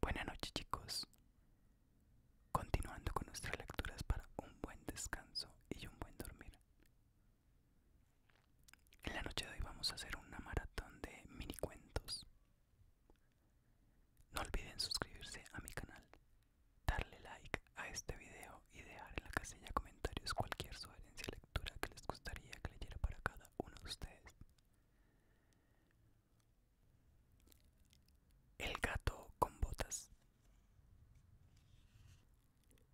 Buenas noches chicos. Continuando con nuestras lecturas para un buen descanso y un buen dormir. En la noche de hoy vamos a hacer una maratón de mini cuentos. No olviden suscribirse a mi canal, darle like a este video y dejar en la casilla comentarios cualquier sugerencia lectura que les gustaría que leyera para cada uno de ustedes. El gato con botas.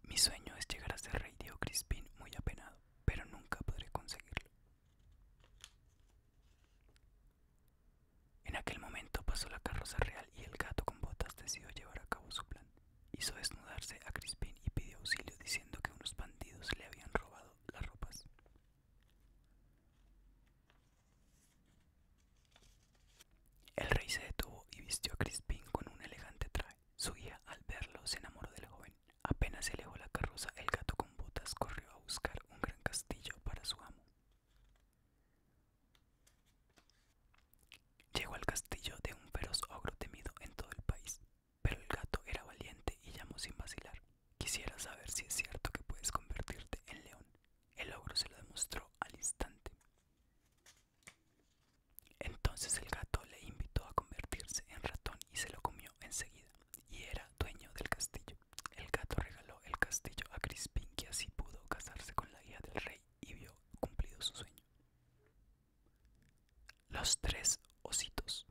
Mi sueño es llegar a ser rey, dijo Crispín muy apenado, pero nunca podré conseguirlo. En aquel momento pasó la carroza real y el gato con botas decidió llevar a cabo su plan. Hizo desnudarse a Crispín y pidió auxilio diciendo que unos bandidos le habían robado las ropas. El rey se detuvo y vistió a Crispín con un elegante traje. Su hija, al verlo, se enamoró de la joven. Apenas se alejó la carroza, el gato con botas corrió a buscar un gran castillo para su amo. Llegó al castillo de un feroz ogro temido en todo el país. Pero el gato era valiente y llamó sin vacilar. Quisiera saber si es cierto que puedes convertirte en león. El ogro se lo demostró al instante. Entonces el gato le invitó a convertirse en ratón y se lo comió enseguida, y era dueño del castillo. El gato regaló el castillo a Crispín, que así pudo casarse con la hija del rey y vio cumplido su sueño. Los tres ositos.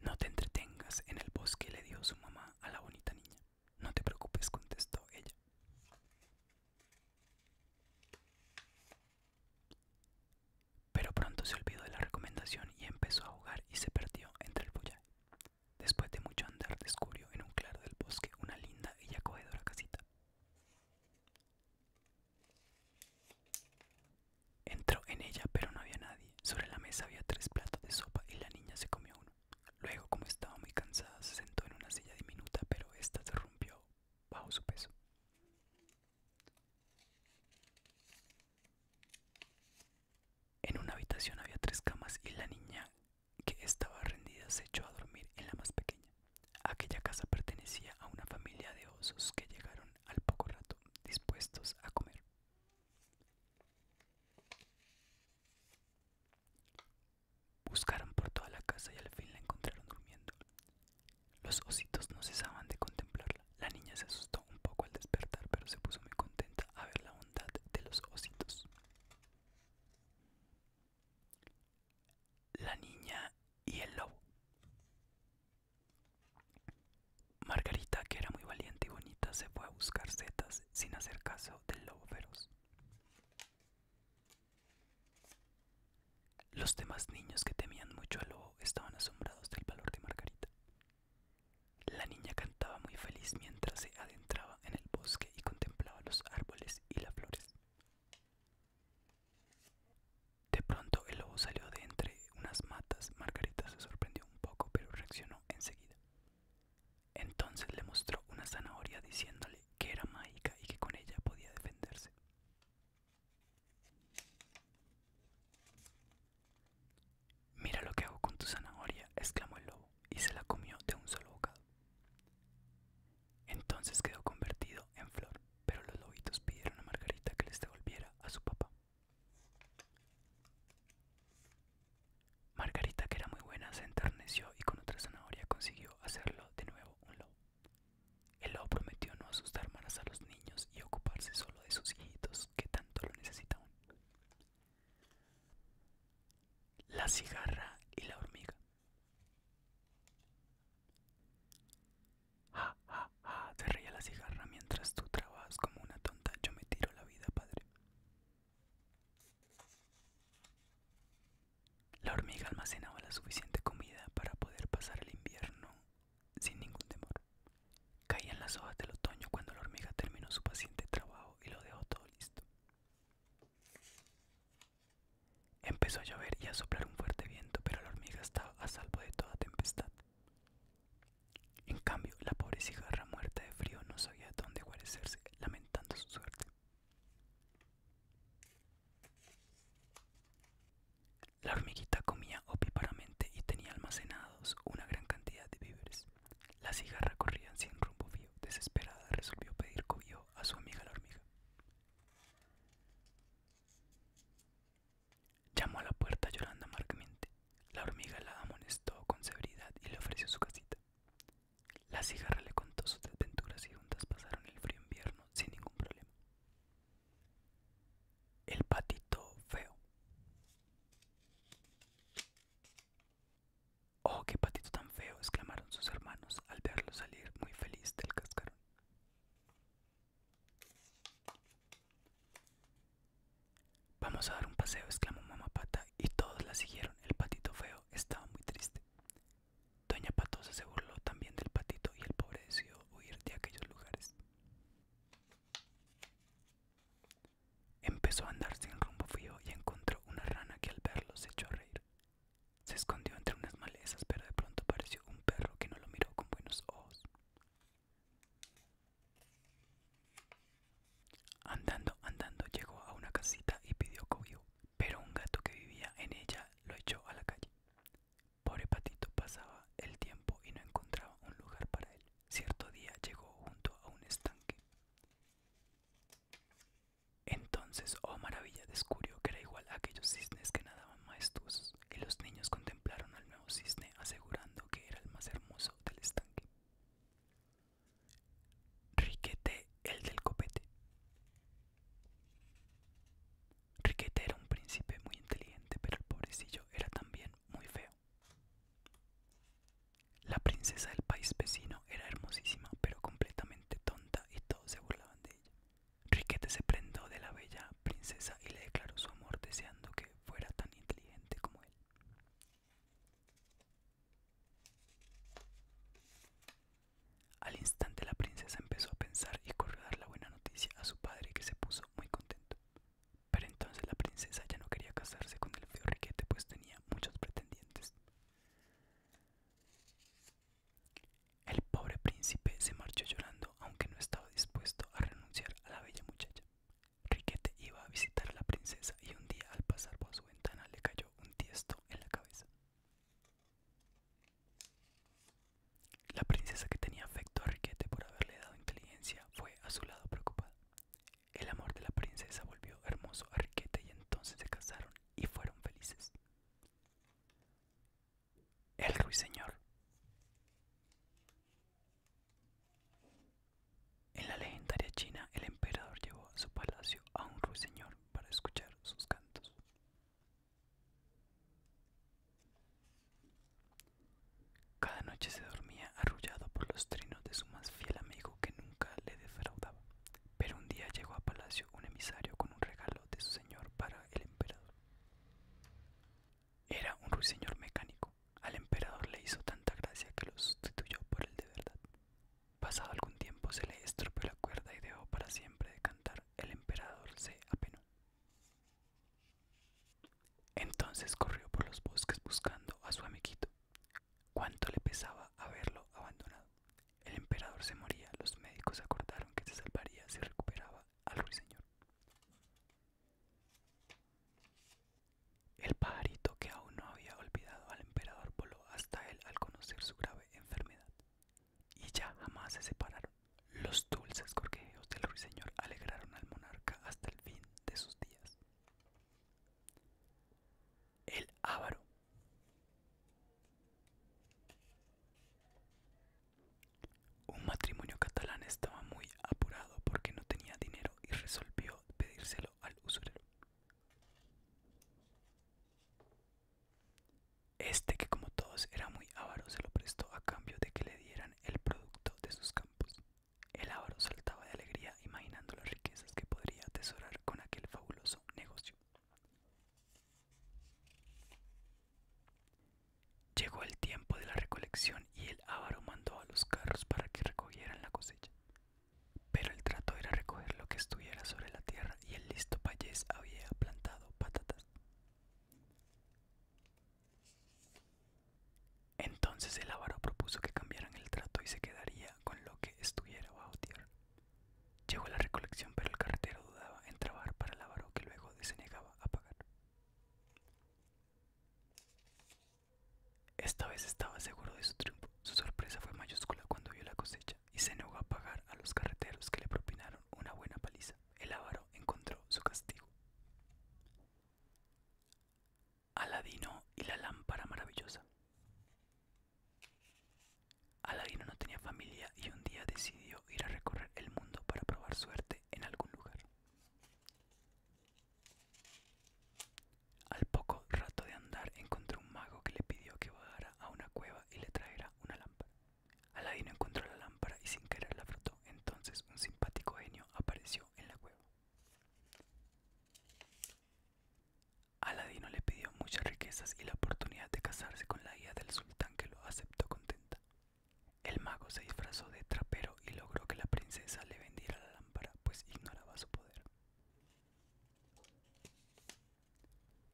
No te entretengas en el bosque, le dio su mamá a la bonita niña. No te preocupes, contestó ella. Pero pronto se olvidó de la recomendación y empezó a jugar y se perdió entre el follaje. Después de mucho andar descubrió en un claro del bosque una linda y acogedora casita. Entró en ella, pero no había nadie. Sobre la mesa había tres platos de sopa y la niña se comió uno. Luego, como estaba muy cansada, se sentó en una silla diminuta, pero esta se rompió bajo su peso. En una habitación había tres camas y la niña que estaba rendida se echó a dormir en la más pequeña. Aquella casa pertenecía a una familia de osos que llegaron al poco rato dispuestos a comer. Buscaron por toda la casa y al fin la encontraron durmiendo. Los ositos no cesaban de contemplarla. La niña se asustó un poco al despertar, pero se puso muy contenta a ver la bondad de los ositos. La niña y el lobo. Margarita, que era muy valiente y bonita, se fue a buscar setas sin hacer caso del lobo feroz. Los demás niños que temían mucho al lobo estaban asombrados del valor de Margarita. La niña cantaba muy feliz mientras se adentraba en el bosque y contemplaba los árboles y las flores. De pronto el lobo salió de entre unas matas. Margarita se sorprendió un poco, pero reaccionó enseguida. Entonces le mostró una zanahoria diciéndole que era mágica y que con ella podía defenderse. Mira lo que hago con tu zanahoria, exclamó el lobo, y se la comió de un solo bocado. Entonces quedó convertido en flor pero los lobitos pidieron a Margarita que les devolviera a su papá. Margarita, que era muy buena, se enterneció y con otra zanahoria consiguió hacerlo de nuevo un lobo. El lobo prometió no asustar más a los niños y ocuparse solo de sus hijitos que tanto lo necesitaban. La cigarra y la hormiga. Ja, reía la cigarra mientras tú trabajas como una tonta. Yo me tiro la vida, padre. La hormiga almacenaba la suficiente comida para poder pasar el invierno sin ningún temor. Caían las hojas del otoño cuando la hormiga terminó su paciente trabajo y lo dejó todo listo. Empezó a llover y a soplar un fuerte viento, pero la hormiga estaba a salvo de toda tempestad. En cambio, la pobre cigarra muerta de frío no sabía dónde guarecerse, lamentando su suerte. La hormiguita comía opíparamente y tenía almacenados una gran cantidad de víveres. La cigarra corría sin rumbo fío. Desesperada resolvió pedir cobijo a su amiga la hormiga. Llamó a la puerta llorando amargamente. La hormiga la amonestó con severidad y le ofreció su casita. La cigarra le contó sus desventuras y juntas pasaron el frío invierno sin ningún problema. El patito feo. Oh, qué patito tan feo, exclamaron sus hermanos al verlo salir muy feliz del cascarón. Vamos a dar un paseo, exclamó mamá pata, y todos la siguieron. El patito feo estaba muy triste. Doña Patosa se burló también del patito y el pobre decidió huir de aquellos lugares. Empezó a andar sin rumbo fijo y encontró una rana que al verlo se echó a reír. Se escondió entre unas malezas, pero de pronto apareció un perro que no lo miró con buenos ojos. Andando, andando llegó a una casita y pidió cobijo, pero un gato que vivía en ella lo echó a la calle. Pobre patito pasaba el tiempo y no encontraba un lugar para él. Cierto día llegó junto a un estanque. Entonces, oh maravilla, descubrió que era igual a aquellos cisnes que nadaban maestros y los niños contemplaron al nuevo cisne asegurando que era el más hermoso del estanque. Riquete, el del copete. Riquete era un príncipe muy inteligente, pero el pobrecillo era también muy feo. La princesa del país vecino era hermosísima, pero completamente tonta y todos se burlaban de ella. Riquete se prendó de la bella princesa y le declaró su amor deseando que fuera tan inteligente como él. Al instante la princesa empezó a pensar y corrió a dar la buena noticia a su padre que se puso muy contento. Pero entonces la princesa ya no quería casarse con el feo Riquete pues tenía muchos pretendientes. El pobre príncipe se marchó llorando, aunque no estaba dispuesto a renunciar a la bella muchacha. Riquete iba a visitar a la princesa y un día al pasar por su ventana le cayó un tiesto en la cabeza. La princesa que tenía afecto a Riquete por haberle dado inteligencia fue a su lado preocupada. El amor de la princesa volvió hermoso a Riquete y entonces se casaron y fueron felices. El ruiseñor. En la legendaria China, el emperador llevó a su palacio a un ruiseñor para escuchar sus cantos. Cada noche se dormía arrullado por los trinos de su más fiel amigo que nunca le defraudaba, pero un día llegó a palacio un emisario con un regalo de su señor para el emperador. Era un ruiseñor mecánico. Al emperador le hizo tanta gracia que lo sustituyó por el de verdad. Pasado algún tiempo se le estropeó la cuerda y dejó para siempre de cantar. El emperador se apenó. Entonces corrió por los bosques buscando a su amiguito. Cuánto le pesaba haberlo abandonado. El emperador se moría, los médicos acordaron que se salvaría si recuperaba al ruiseñor. El pajarito que aún no había olvidado al emperador voló hasta él al conocer su grave enfermedad. Y ya jamás se separaron. Los dulces cortejos del ruiseñor alegraron al monarca hasta el fin de sus días. El ávaro un matrimonio catalán estaba muy apurado porque no tenía dinero y resolvió pedírselo al usurero. Este, que como todos era muy avaro, se lo prestó a cambio de que le dieran el producto de sus campos. El avaro saltaba de alegría imaginando las riquezas que podría atesorar con aquel fabuloso negocio. Llegó el tiempo de la recolección y el avaro mandó a los carros para que recogieran la cosecha. Pero el trato era recoger lo que estuviera sobre la tierra y el listo payés había plantado patatas. Entonces el avaro propuso que cambiaran el trato y se quedaría con lo que estuviera bajo tierra. Llegó la recolección, pero el carretero dudaba en trabajar para el avaro que luego desenegaba a pagar. Esta vez estaba seguro de su triunfo. Su sorpresa fue mayúscula cuando vio la cosecha y se negó a pagar a los carreteros que le propinaron una buena paliza. El avaro encontró su castigo. Aladino y la lámpara maravillosa. Aladino no tenía familia y un día decidió ir a recorrer el mundo para probar suerte en algún lugar. Al poco rato de andar encontró un mago que le pidió que bajara a una cueva y le trajera una lámpara. Aladino encontró la lámpara y sin querer la frotó. Entonces un simpático genio apareció en la cueva. Aladino le pidió muchas riquezas y la oportunidad de casarse con la hija del sultán que lo aceptó contenta. El mago se disfrazó de trapero y logró que la princesa le vendiera la lámpara, pues ignoraba su poder.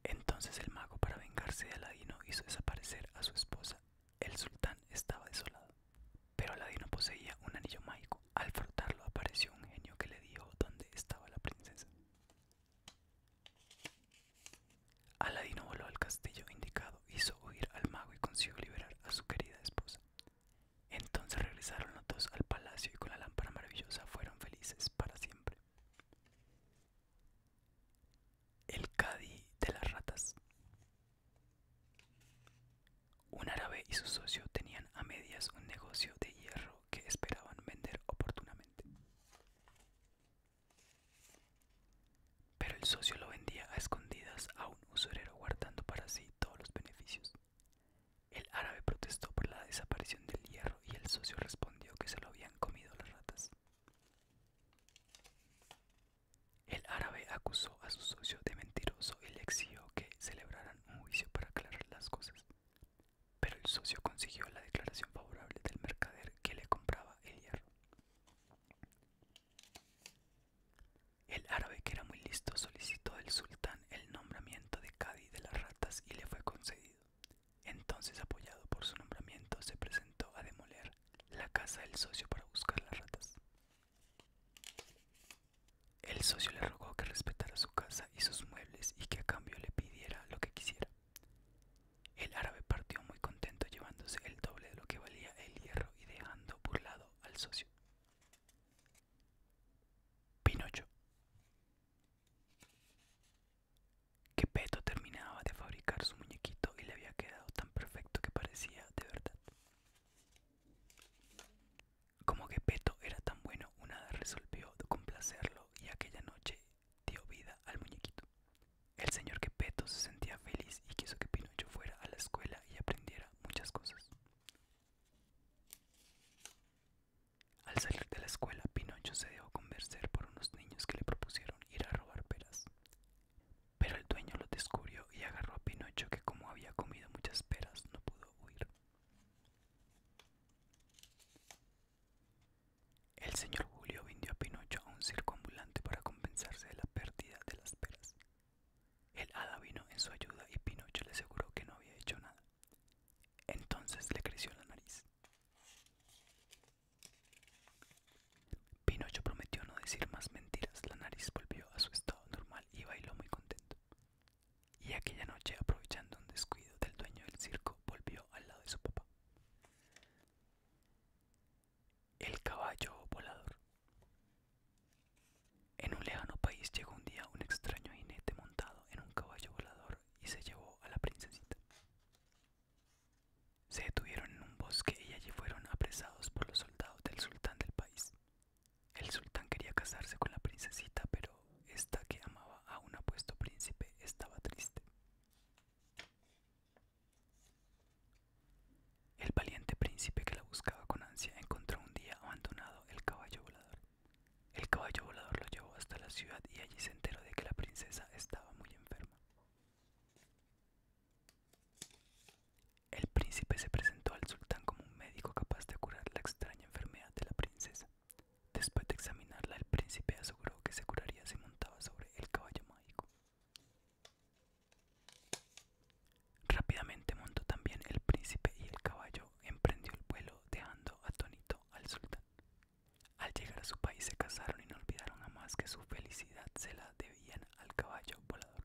Entonces el mago, para vengarse de Aladino, hizo desaparecer a su esposa. El sultán estaba desolado, pero Aladino poseía un anillo mágico. Al frotarlo apareció un genio que le dijo dónde estaba la princesa. Aladino voló al castillo indicado, hizo huir al mago y consiguió liberar a su querida esposa. Entonces regresaron los dos al palacio y con la lámpara maravillosa fueron felices para siempre. El cadí de las ratas. Un árabe y su socio tenían a medias un negocio de hierro que esperaban vender oportunamente. Pero el socio lo vendía a escondidas a un usurero guardando para sí todos los beneficios. El árabe protestó por la desaparición del hierro y el socio respondió que se lo habían comido las ratas. El árabe acusó a su socio de mentiroso y le exigió que celebraran un juicio para aclarar las cosas. Pero el socio consiguió la declaración favorable del mercader que le compraba el hierro. El árabe, que era muy listo, solicitó al sultán el nombramiento de Cadi de las ratas y le fue concedido. Entonces, apoyado por su nombramiento, se presentó a demoler la casa del socio para buscar las ratas. El socio le rogó que respetara su casa y sus muebles y que a cambio le pidiera lo que quisiera. El árabe partió muy contento llevándose el doble de lo que valía el hierro y dejando burlado al socio. Pinocho. Que Peto terminaba de fabricar su muñequito y le había quedado tan perfecto que parecía de verdad. Como que Peto era tan bueno, una resolvió complacerlo y aquella noche dio vida al muñequito. El señor quepeto se sentía feliz y quiso que Pinocho fuera a la escuela y aprendiera muchas cosas. Al salir de la escuela, Pinocho se dejó convencer por unos niños que le propusieron ir a robar peras. Pero el dueño lo descubrió y agarró a Pinocho que como había comido muchas peras no pudo huir. El señor Julio vendió a Pinocho a un circo ambulante para compensarse de la pérdida de las peras. El hada vino en su ayuda y Pinocho le aseguró que no había hecho nada. Entonces le creció la nariz. Pinocho prometió no decir más mentiras, la nariz volvió a su estado normal y bailó muy contento. Y aquella noche, aprovechando un descuido del dueño del circo, volvió al lado de su papá. El caballo volador. En un lejano país llegó un día un extraño jinete montado en un caballo volador y se llevó a la princesita. Se detuvieron en un bosque y allí fueron apresados por los soldados del sultán del país. El sultán quería casarse con la princesita, pero esta que amaba a un apuesto príncipe estaba triste. El valiente príncipe que la buscaba con ansia encontró un día abandonado el caballo volador. El caballo volador lo llevó hasta la ciudad y allí se enteró de que la princesa estaba muy enferma. El príncipe se presentó al sultán como un médico capaz de curar la extraña enfermedad de la princesa. Después de examinarla, el príncipe aseguró que se curaría si montaba sobre el caballo Rápidamente montó también el príncipe y el caballo emprendió el vuelo dejando atónito al sultán. Al llegar a su país se casaron y no olvidaron jamás que su felicidad se la debían al caballo volador.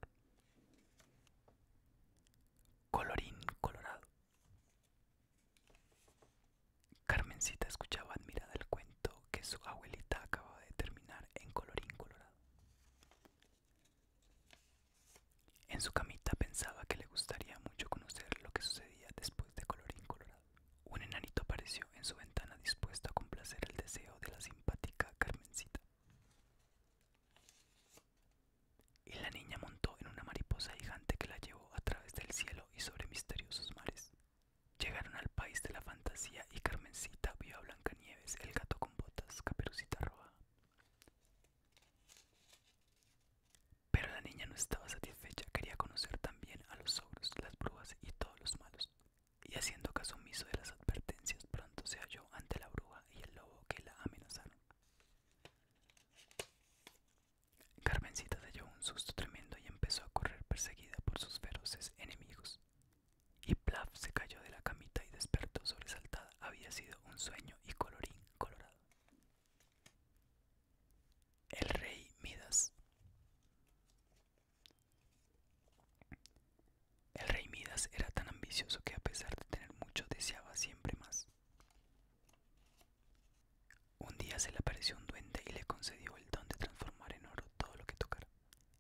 Colorín colorado. Carmencita escuchaba admirada el cuento que su abuelita acababa de terminar en colorín colorado. En su camita pensaba que le gustaría mucho conocer lo que sucedía después de colorín colorado. Un enanito apareció en su ventana dispuesto a complacer el deseo de la simpática Carmencita. Y la niña montó en una mariposa gigante que la llevó a través del cielo y sobre misteriosos mares. Llegaron al país de la fantasía y Carmencita vio a Blancanieves, el gato con botas, Caperucita Roja. Pero la niña no estaba satisfecha, quería conocer también a los ogros, las brujas y todos los malos. Y haciendo caso omiso de las advertencias, pronto se halló ante la bruja y el lobo que la amenazaron. Carmencita se un susto tremendo y empezó a correr perseguida por sus feroces enemigos. Y Plaf se cayó de la camita y despertó sobresaltada. Había sido un sueño y colorín colorado. El rey Midas. El rey Midas era tan ambicioso que a pesar de tener mucho deseaba siempre más. Un día se le apareció un duende y le concedió el don de transformar en oro todo lo que tocara.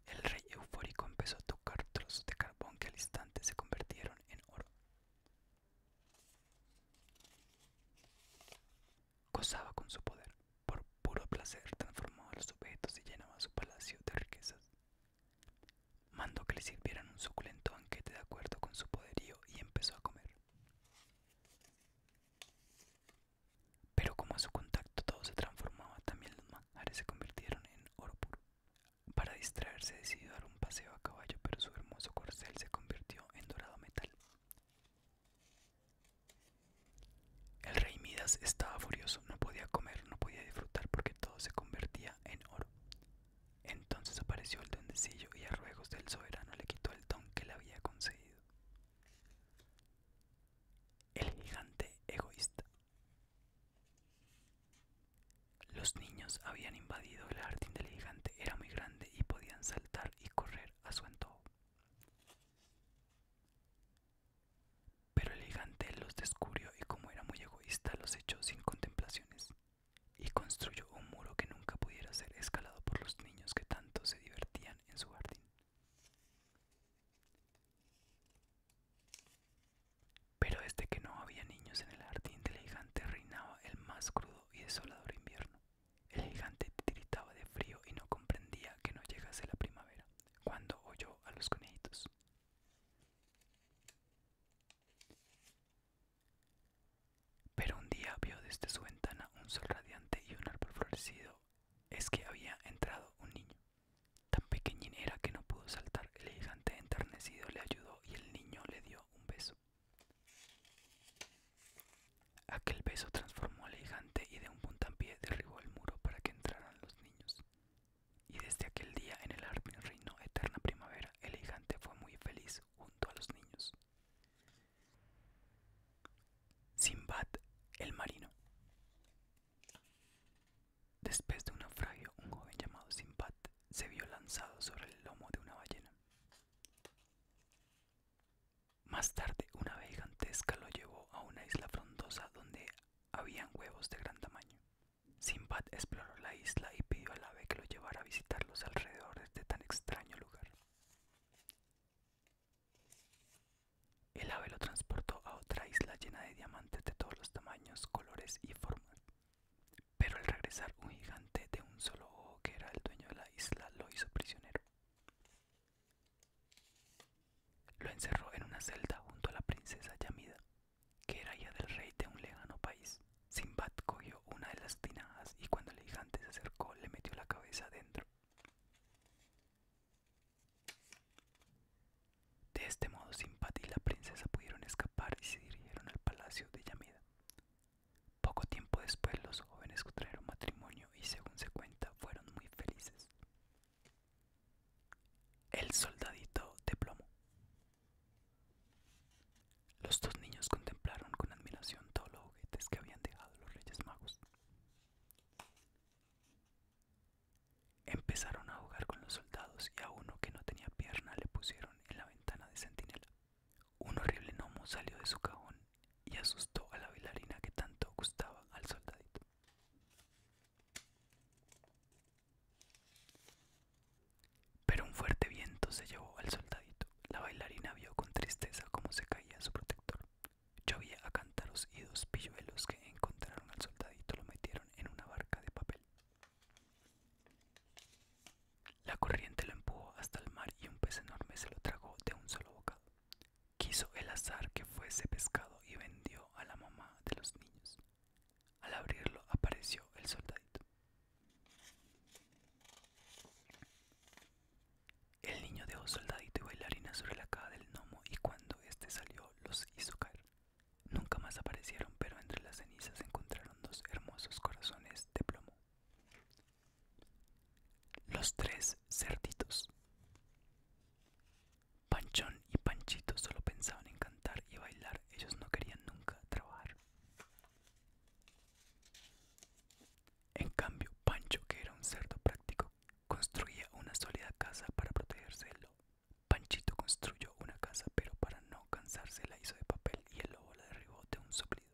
El rey eufórico empezó a tocar trozos de carbón que al instante se convirtieron en oro. Gozaba con su poder, por puro placer transformaba los objetos y llenaba su palacio de riquezas. Mandó que le sirvieran un suculento banquete de acuerdo con su poderío y empezó a comer. Pero como a su contacto todo se transformaba, también los manjares se convirtieron en oro Para distraerse decidió dar un paseo a caballo, pero su hermoso corcel se convirtió en dorado metal. El rey Midas estaba furioso, no podía comer, no podía disfrutar porque todo se convertía en oro. Entonces apareció el duendecillo y a ruegos del soberano le quitó el don que le había concedido. El gigante egoísta. Los niños habían invadido el jardín del gigante, era muy grande y podían saltar y correr a su antojo. Pero el gigante los descubrió y como era muy egoísta los echó sin contemplaciones y construyó un muro que nunca pudiera ser escalado por los niños que tanto se divertían en su jardín. Pero desde que no había niños en el jardín del gigante reinaba el más crudo y desolador invierno. El gigante tiritaba de frío y no comprendía que no llegase la primavera, cuando oyó a los conejitos. Pero un día vio desde su ventana un sol radiante y un árbol florecido es que había entrado un niño. Tan pequeñín era que no pudo saltar. El gigante enternecido le ayudó y el niño le dio un beso. Aquel beso transformó al gigante y de un puntapié derribó el muro para que entraran los niños. Y desde aquel día en el reino reino eterna primavera. El gigante fue muy feliz junto a los niños. Simbad el marino. Después de un naufragio, un joven llamado Simbad se vio lanzado sobre el lomo de una ballena. Más tarde, una ave gigantesca lo llevó a una isla frondosa donde habían huevos de gran tamaño. Simbad exploró la isla y pidió al ave que lo llevara a visitar los alrededores de este tan extraño lugar. El ave lo transportó a otra isla llena de diamantes de todos los tamaños, colores y formas. Pero al regresar un gigante de un solo ojo que era el dueño de la isla lo hizo prisionero. Lo encerró en una celda junto a la princesa Yamida, que era hija del rey de un lejano país. Simbad cogió una de las tinajas y cuando el gigante se acercó le metió la cabeza dentro. De este modo, Simpati y la princesa pudieron escapar y se dirigieron al palacio de Yamida. Poco tiempo después, los jóvenes contrajeron matrimonio y, según se cuenta, fueron muy felices. El soldadito de plomo. Los dos niños contemplaron con admiración todos los juguetes que habían dejado los Reyes Magos. Empezaron a jugar con los soldados y a uno que no tenía pierna le pusieron en la ventana de sentinela Un horrible gnomo salió de su cajón y asustó a la bailarina que tanto gustaba al soldadito. Pero un fuerte viento se llevó al soldadito. La bailarina vio con tristeza cómo se caía su protector. Llovía a cantaros y dos pilluelos que encontraron al soldadito lo metieron en una barca de papel. La corriente lo empujó hasta el mar y un pez enorme se lo tragó de un solo bocado. Quiso el azar que fuese pescado y vendió a la mamá de los niños. Al abrirlo apareció el soldadito. El niño dejó soldadito y bailarina sobre la caja del gnomo y cuando éste salió los hizo caer. Nunca más aparecieron, pero entre las cenizas encontraron dos hermosos corazones de plomo. Los tres cerditos. Panchón y Panchito solo pensaban en cantar y bailar, ellos no querían nunca trabajar. En cambio, Pancho, que era un cerdo práctico, construía una sólida casa para protegerse del lobo. Panchito construyó una casa, pero para no cansarse la hizo de papel y el lobo la derribó de un soplido.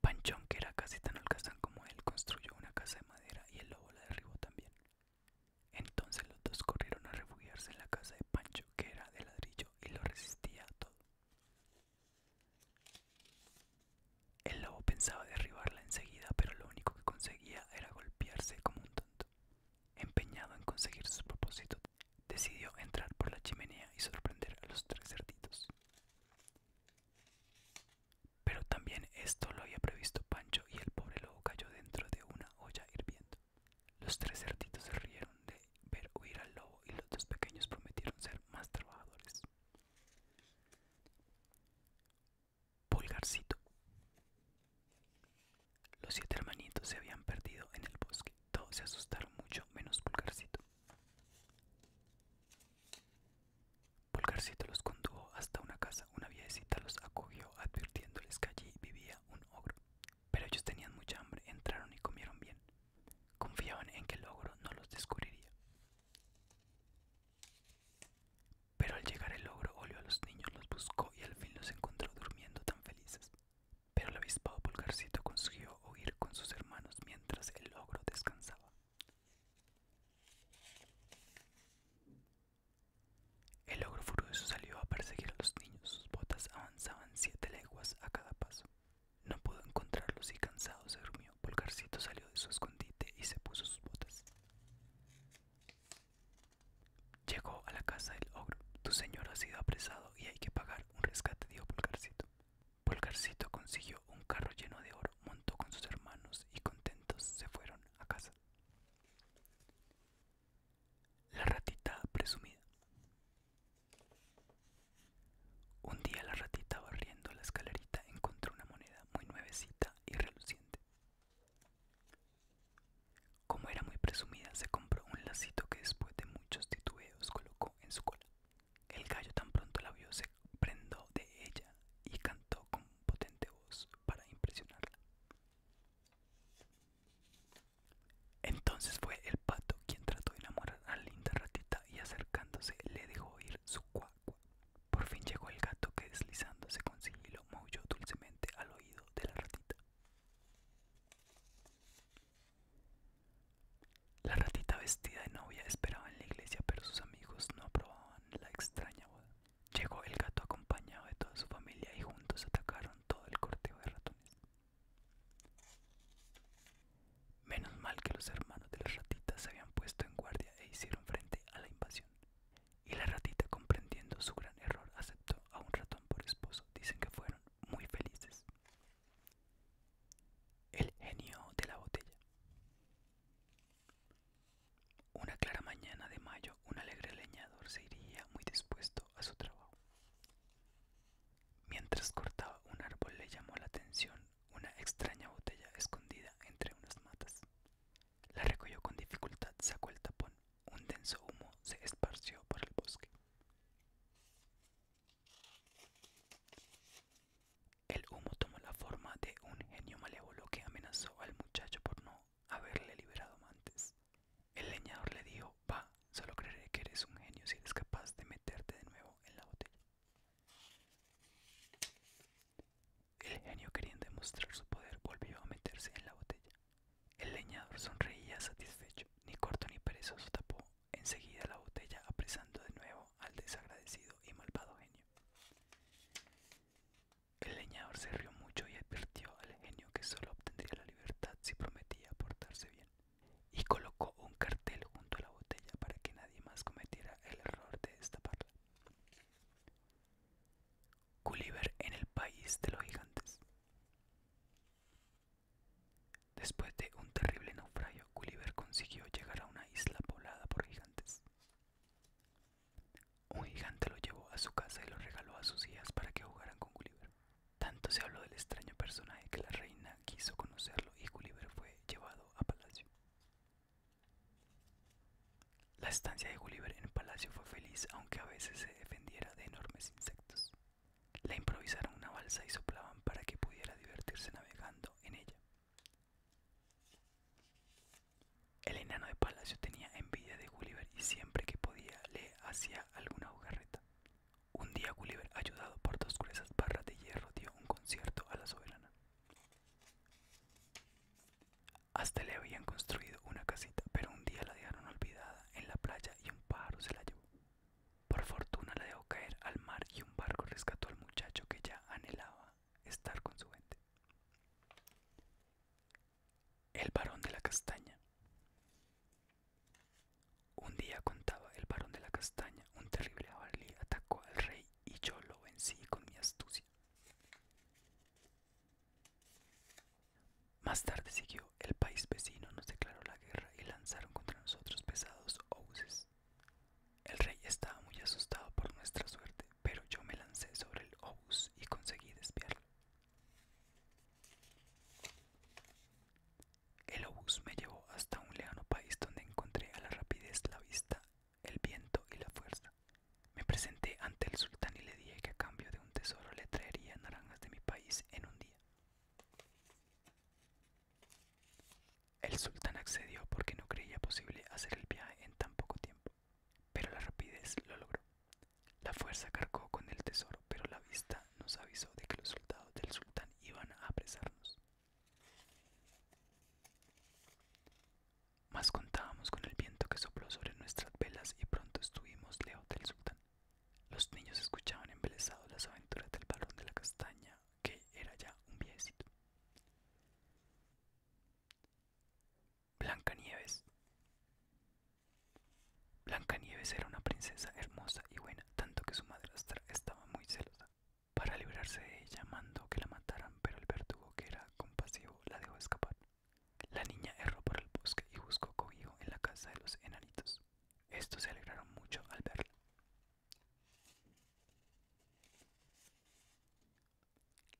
Panchón, que era casi tan holgazán como él, construyó una casa de madera y el lobo la derribó también. Entonces los dos corrieron a refugiarse en la casa de Pancho, que era de ladrillo y lo resistía a todo. El lobo pensaba derribarla enseguida, pero lo único que conseguía era golpearse como un tonto. Empeñado en conseguir su propósito, decidió entrar por la chimenea y sorprender a los tres cerditos. Pero también esto lo había previsto Pancho y el pobre lobo cayó dentro de una olla hirviendo. Los tres cerditos se rieron de ver huir al lobo y los dos pequeños prometieron ser más trabajadores. Pulgarcito. Los siete hermanitos se habían perdido en el bosque. Todos se asustaron mucho menos Pulgarcito. Pulgarcito los condujo hasta una casa. Una viejecita los acogió advirtiéndoles que allí vivía un ogro pero ellos tenían mucha hambre, entraron y comieron bien. Confiaban en que el ogro no los descubriría. Pero al llegar el ogro olió a los niños, los buscó y al fin los encontró durmiendo tan felices. Pero el avispado pulgarcito consiguió oír con sus hermanos mientras el ogro descansaba. El ogro furioso salió a perseguir a los niños, sus botas avanzaban siete leguas a cada paso. No pudo encontrarlos y cansado se durmió. Polgarcito salió de su escondite y se puso sus botas. Llegó a la casa del ogro. Tu señor ha sido apresado y hay que pagar un rescate, dijo Pulgarcito. Polgarcito consiguió un carro lleno de oro, montó con sus hermanos y contentos se fueron a casa. La ratita presumida. Un día la ratita barriendo la escalerita encontró una moneda muy nuevecita y reluciente. Como era muy presumida, se compró un lacito que después de muchos titubeos colocó en su cola. El gallo tan pronto la vio se prendó de ella y cantó con potente voz para impresionarla. Entonces fue el pato quien trató de enamorar a la linda ratita y acercándose le dejó oír su cuacua. Por fin llegó el gato que deslizándose con sigilo maulló dulcemente al oído de la ratita. La ratita vestida de novia esperaba en la iglesia, pero sus amigos no aprobaban la extraña boda. Llegó el gato acompañado de toda su familia y juntos atacaron todo el corteo de ratones. Menos mal que los hermanos de las ratitas se habían puesto en guardia e hicieron frente a la invasión. Y la ratita, comprendiendo su gran error, aceptó a un ratón por esposo. Dicen que fueron muy felices. El genio de la botella. Una clara mañana de mayo, un alegre leñador se iría muy dispuesto a su trabajo. Mientras cortaba un árbol le llamó la atención una extraña botella escondida entre unas matas. La recogió con dificultad, sacó el tapón, un denso humo se esparció por el bosque. El humo tomó la forma de un genio malévolo que amenazó al muchacho por no haberle liberado antes. El leñador le dijo, va, solo creeré que eres un genio si eres capaz de meterte de nuevo en la botella. El genio queriendo demostrar su poder volvió a meterse en la botella. El leñador sonreía satisfecho, ni corto ni perezoso tapó enseguida la botella apresando de nuevo al desagradecido y malvado genio. El leñador se rió mucho y advirtió al genio que solo obtendría la libertad si prometía portarse bien y colocó un cartel junto a la botella para que nadie más cometiera el error de destaparla. Gulliver en el país de los gigantes. Después de un terrible naufragio, Gulliver consiguió llegar a una isla poblada por gigantes. Un gigante lo llevó a su casa y lo regaló a sus hijas para que jugaran con Gulliver. Tanto se habló del extraño personaje que la reina quiso conocerlo y Gulliver fue llevado a palacio. La estancia de Gulliver en el palacio fue feliz, aunque a veces se defendiera de enormes insectos. Le improvisaron una balsa y soplaban para que pudiera divertirse navegando en ella. El enano de palacio tenía envidia de Gulliver y siempre que podía le hacía alguna jugarreta. Un día Gulliver, ayudado por dos gruesas barras de hierro, dio un concierto a la soberana. Hasta le habían construido una casita, pero un día la dejaron olvidada en la playa y un pájaro se la llevó. Por fortuna la dejó caer al mar y un barco rescató al muchacho que ya anhelaba estar con su gente. El varón de la castaña. Un día contaba el varón de la castaña, un terrible abalí atacó al rey y yo lo vencí con mi astucia. Más tarde siguió, el país vecino nos declaró la guerra y lanzaron contra nosotros pesados obuses. El rey estaba muy asustado por nuestra suerte, pero yo me lancé sobre el obus y conseguí desviarlo. El obús me llevó hasta un lejano país donde encontré a la rapidez la vista, el viento y la fuerza. Me presenté ante el sultán y le dije que a cambio de un tesoro le traería naranjas de mi país en un día. El sultán accedió porque no creía posible hacer el viaje en tan poco tiempo, pero la rapidez lo logró. La fuerza cargó con el tesoro, pero la vista nos avisó de que los soldados del sultán iban a apresarnos. Más contábamos con el viento que sopló sobre nuestras velas y pronto estuvimos lejos del sultán. Los niños escuchaban embelesados las aventuras del barón de la castaña, que era ya un viejecito. nieves Blanca Nieves era una princesa hermosa y buena, tanto que su madrastra estaba muy celosa. Para librarse de ella mandó que la mataran, pero el verdugo, que era compasivo, la dejó escapar. La niña erró por el bosque y buscó cobijo en la casa de los enanitos. Estos se alegraron mucho al verla.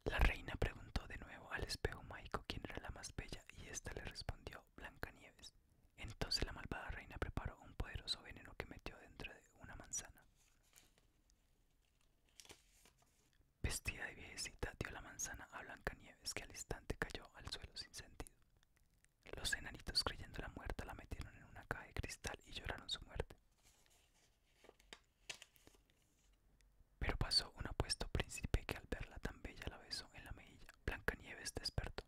La reina preguntó de nuevo al espejo mágico quién era la más bella y ésta le respondió Blancanieves. Entonces la malvada reina preparó un poderoso veneno que metió dentro de una manzana. Vestida de viejecita dio la manzana a Blancanieves, que al instante cayó al suelo sin sentido. Los enanitos, la muerta, la metieron en una caja de cristal y lloraron su muerte. Pero pasó un apuesto príncipe que al verla tan bella la besó en la mejilla. Blancanieves despertó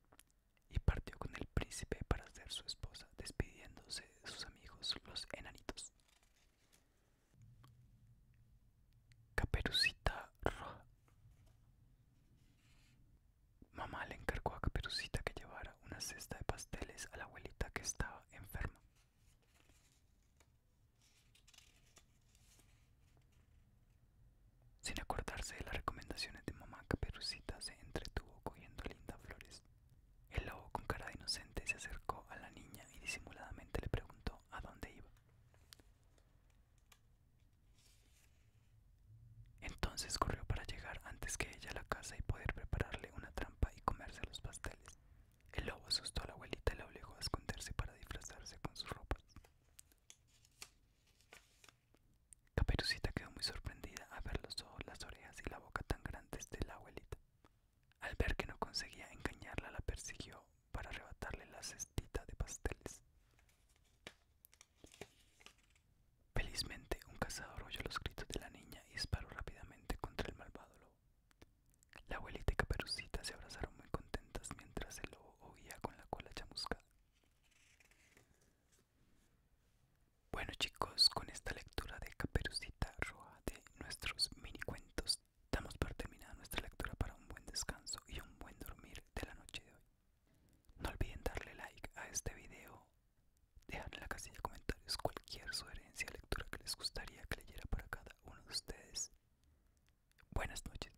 y partió con el príncipe para ser su esposa, despidiéndose de sus amigos los enanitos. Caperucita Roja. Mamá le encargó a Caperucita que llevara una cesta de pasteles a la abuelita que estaba enferma. Sin acordarse de las recomendaciones de mamá, Caperucita se entretuvo cogiendo lindas flores. El lobo con cara inocente se acercó a la niña y disimuladamente le preguntó a dónde iba. Entonces corrió para llegar antes que ella a la casa y poder prepararle una trampa y comerse los pasteles. El lobo asustó a la abuelita y la obligó a esconderse para disfrazarse con sus ropas. Caperucita quedó muy sorprendida al ver los ojos, las orejas y la boca tan grandes de la abuelita. Al ver que no conseguía engañarla, la persiguió para arrebatarle la cestita de pasteles. Felizmente, un cazador oyó los gritos de la niña y disparó rápidamente contra el malvado lobo. La abuelita y Caperucita se abrazaron muy contentas mientras el lobo oía con la cola chamuscada. Bueno chicos, con esta lectura de Caperucita Roja de nuestros mini cuentos, damos por terminada nuestra lectura para un buen descanso y un buen dormir de la noche de hoy. No olviden darle like a este video, dejar en la casilla de comentarios cualquier sugerencia, lectura que les gustaría que leyera para cada uno de ustedes. Buenas noches.